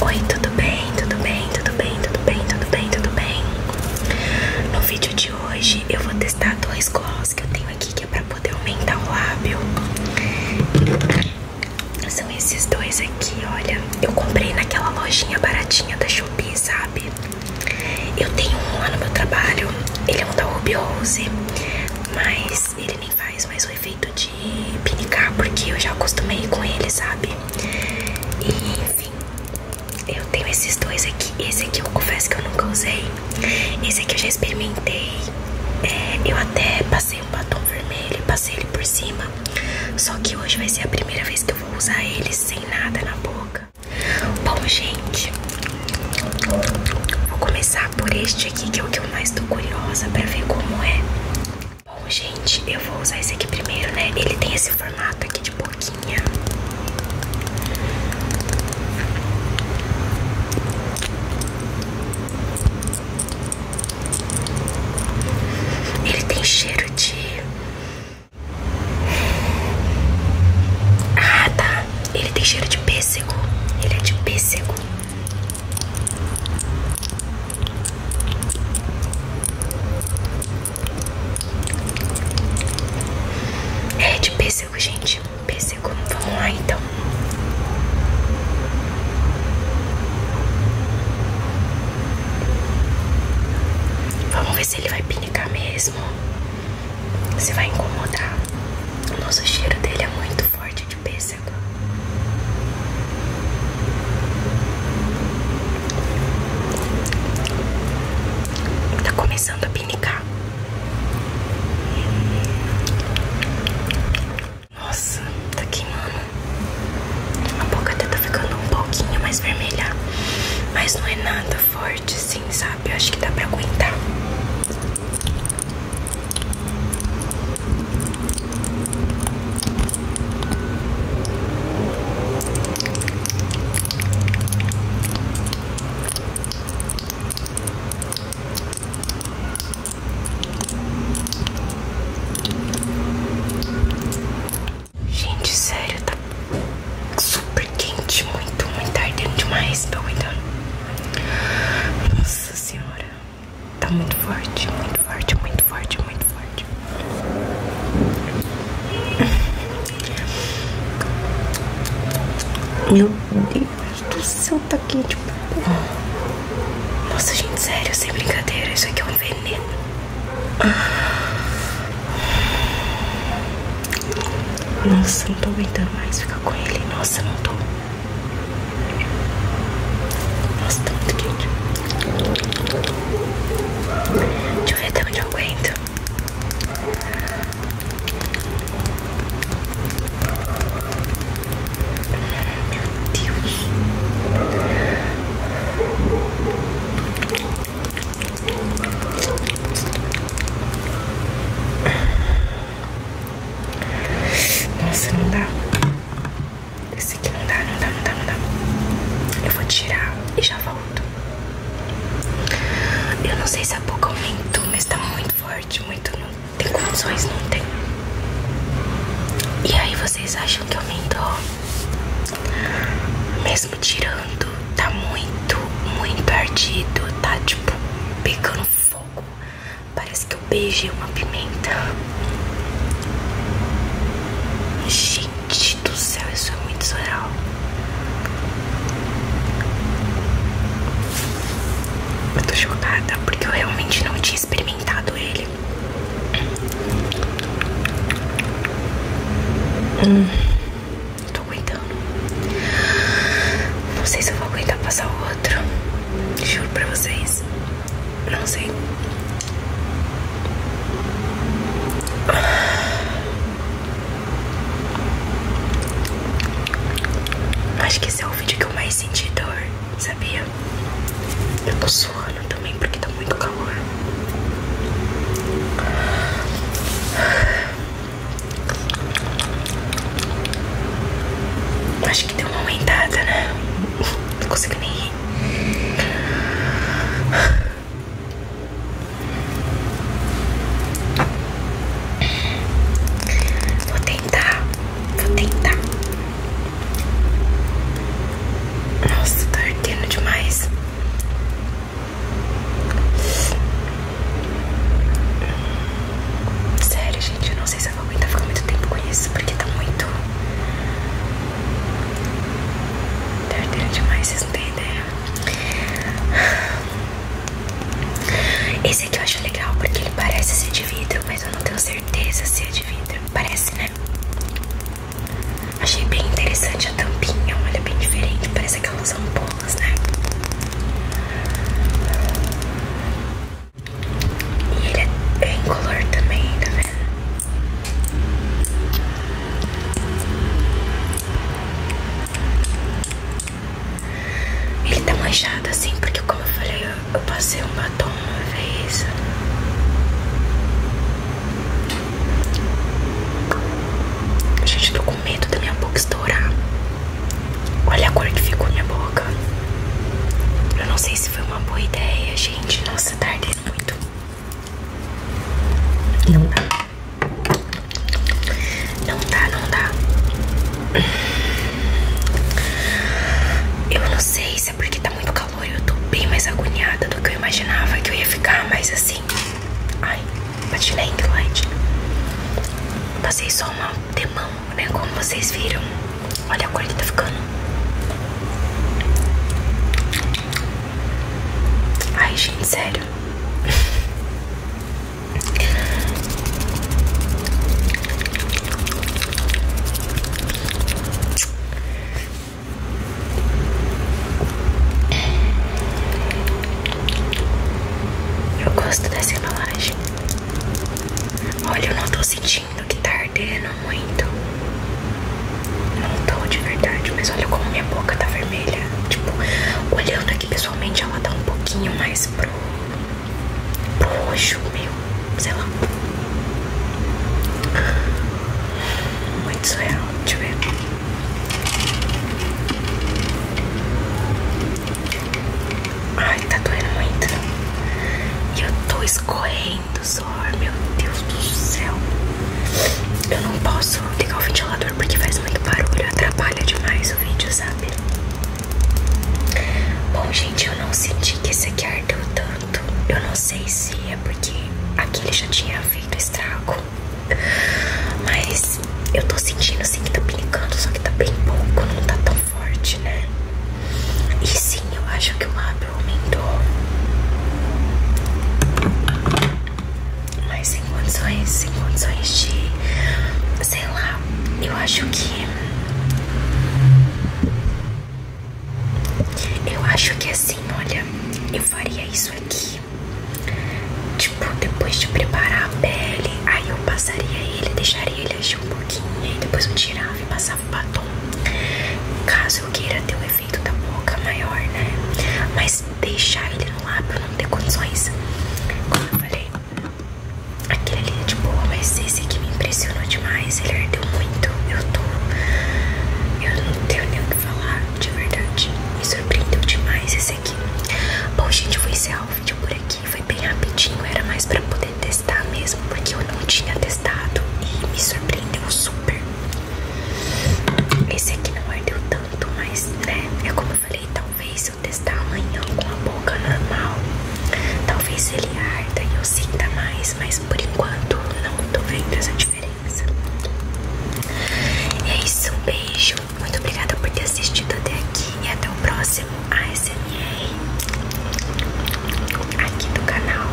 Oi, tudo bem? Tudo bem? Tudo bem? Tudo bem? Tudo bem? Tudo bem? No vídeo de hoje eu vou testar dois gloss que eu tenho aqui que é para poder aumentar o lábio. São esses dois aqui, olha. Eu comprei naquela lojinha baratinha da Shopee, sabe? Eu tenho um lá no meu trabalho. Ele é um da Ruby Rose, mas ele faz mais o efeito de pinicar, porque eu já acostumei com ele, sabe? E enfim, eu tenho esses dois aqui. Esse aqui eu confesso que eu nunca usei. Esse aqui eu já experimentei. É, eu até passei um batom vermelho passei ele por cima. Só que hoje vai ser a primeira vez que eu vou usar ele sem nada na boca. Bom, gente, vou começar por este aqui que é o que eu mas tô curiosa pra ver como é. Bom, gente, eu vou usar esse aqui primeiro, né? Ele tem esse formato aqui de boquinha. Ele tem cheiro de... Ah, tá. Ele tem cheiro de pêssego. Ele é de pêssego. É de pêssego, gente. Pêssego. Vamos lá então. Vamos ver se ele vai pinicar mesmo. Se vai incomodar. O nosso cheiro dele é muito forte de pêssego. Tá começando a pinicar. Nossa, tá queimando. A boca até tá ficando um pouquinho mais vermelha. Mas não é nada forte, assim, sabe? Eu acho que dá pra aguentar. Gente, sério, tá super quente, muito, muito ardendo demais, tô aguentando. Nossa senhora, tá muito forte, muito forte, muito forte, muito forte. Meu Deus do céu, tá quente. Nossa, gente, sério, sem brincadeira, isso aqui é um veneno. Ah. Nossa, não tô aguentando mais ficar com ele. Nossa, não tô. Nossa, tá muito quente. Deixa eu ver até onde eu aguento. Meu Deus. Nossa, não dá. Esse aqui não dá, não dá, não dá, não dá. Eu vou tirar e já volto. Eu não sei se a boca aumentou, mas tá muito forte, muito. Não tem condições, não tem. E aí vocês acham que aumentou? Mesmo tirando, tá muito, muito ardido. Tá tipo pegando fogo. Parece que eu beijei uma pimenta. Gente do céu, isso é muito surreal. Eu tô chocada porque eu realmente não tinha experimentado ele. Hum, tô aguentando. Não sei se eu vou aguentar passar o outro. Juro pra vocês. Não sei. Acho que esse é o vídeo que eu mais senti dor, sabia? Eu posso suando também porque tá muito calor. Acho que deu uma aumentada, né? Não consigo nem rir. Vou tentar, vou tentar nossa, tá ardendo demais. Sério, gente, eu não sei se eu vou aguentar ficar muito tempo com isso, porque tá muito. Tá ardendo demais, vocês não têm ideia. Esse aqui eu acho legal porque ele parece ser de vidro, mas eu não tenho certeza se é de vidro. Parece, né? Achei bem interessante a tampinha, olha bem diferente, parece aquelas ampolas, né? E ele é em color também, tá vendo? Né? Ele tá manchado assim, porque como eu falei, eu passei um batom uma vez. Gente, tô com medo da minha boca estourar. Olha a cor que ficou minha boca. Eu não sei se foi uma boa ideia, gente. Nossa, tardei muito. Não dá. Não dá, não dá. Eu não sei se é porque tá muito calor e eu tô bem mais agoniada do que eu imaginava que eu ia ficar, mas assim. Ai, patinei light. Passei só uma demão, né? Como vocês viram. Olha a cor que tá ficando. Ai, gente, sério. Eu gosto dessa embalagem. Olha, eu não tô sentindo que tá ardendo muito. Não tô de verdade, mas olha como minha boca tá vermelha. Tipo, olhando aqui pessoalmente, ela tá um pouquinho mais pro roxo, meu, sei lá. Muito surreal, deixa eu ver. Ai, tá doendo muito. E eu tô escorrendo suor, meu Deus do céu. Eu não posso ligar o ventilador porque faz muito barulho, atrapalha demais o vídeo, sabe? Bom, gente, eu não senti que esse aqui ardeu tanto. Eu não sei se é porque aquele já tinha feito estrago. Mas eu tô sentindo assim que tá brincando, só que tá bem pouco, não tá tão forte, né? E sim, eu acho que o mapa aumentou mas sem condições, sem condições de, sei lá, eu acho que, eu acho que assim, olha, eu faria isso aqui, tipo, depois de preparar a pele, aí eu passaria ele, deixaria ele agir um pouquinho, e depois eu tirava e passava o batom, caso eu queira ter um efeito da boca maior, né, mas deixar ele no ar pra não ter condições. Como eu falei, aquele ali é de boa, mas esse aqui me impressionou demais. Ele ardeu muito. Eu tô. Eu não tenho nem o que falar, de verdade. Me surpreendeu demais esse aqui. Bom, gente, vou encerrar o vídeo por aqui. Foi bem rapidinho, era mais pra poder testar mesmo, porque eu não tinha testado e me surpreendeu super. Esse aqui não ardeu tanto, mas né? É como eu falei, talvez eu testar amanhã com a boca normal. Talvez ele arda e eu sinta mais, mas por enquanto não tô vendo essa diferença. E é isso, um beijo. Muito obrigada por ter assistido até aqui e até o próximo ASMR aqui do canal.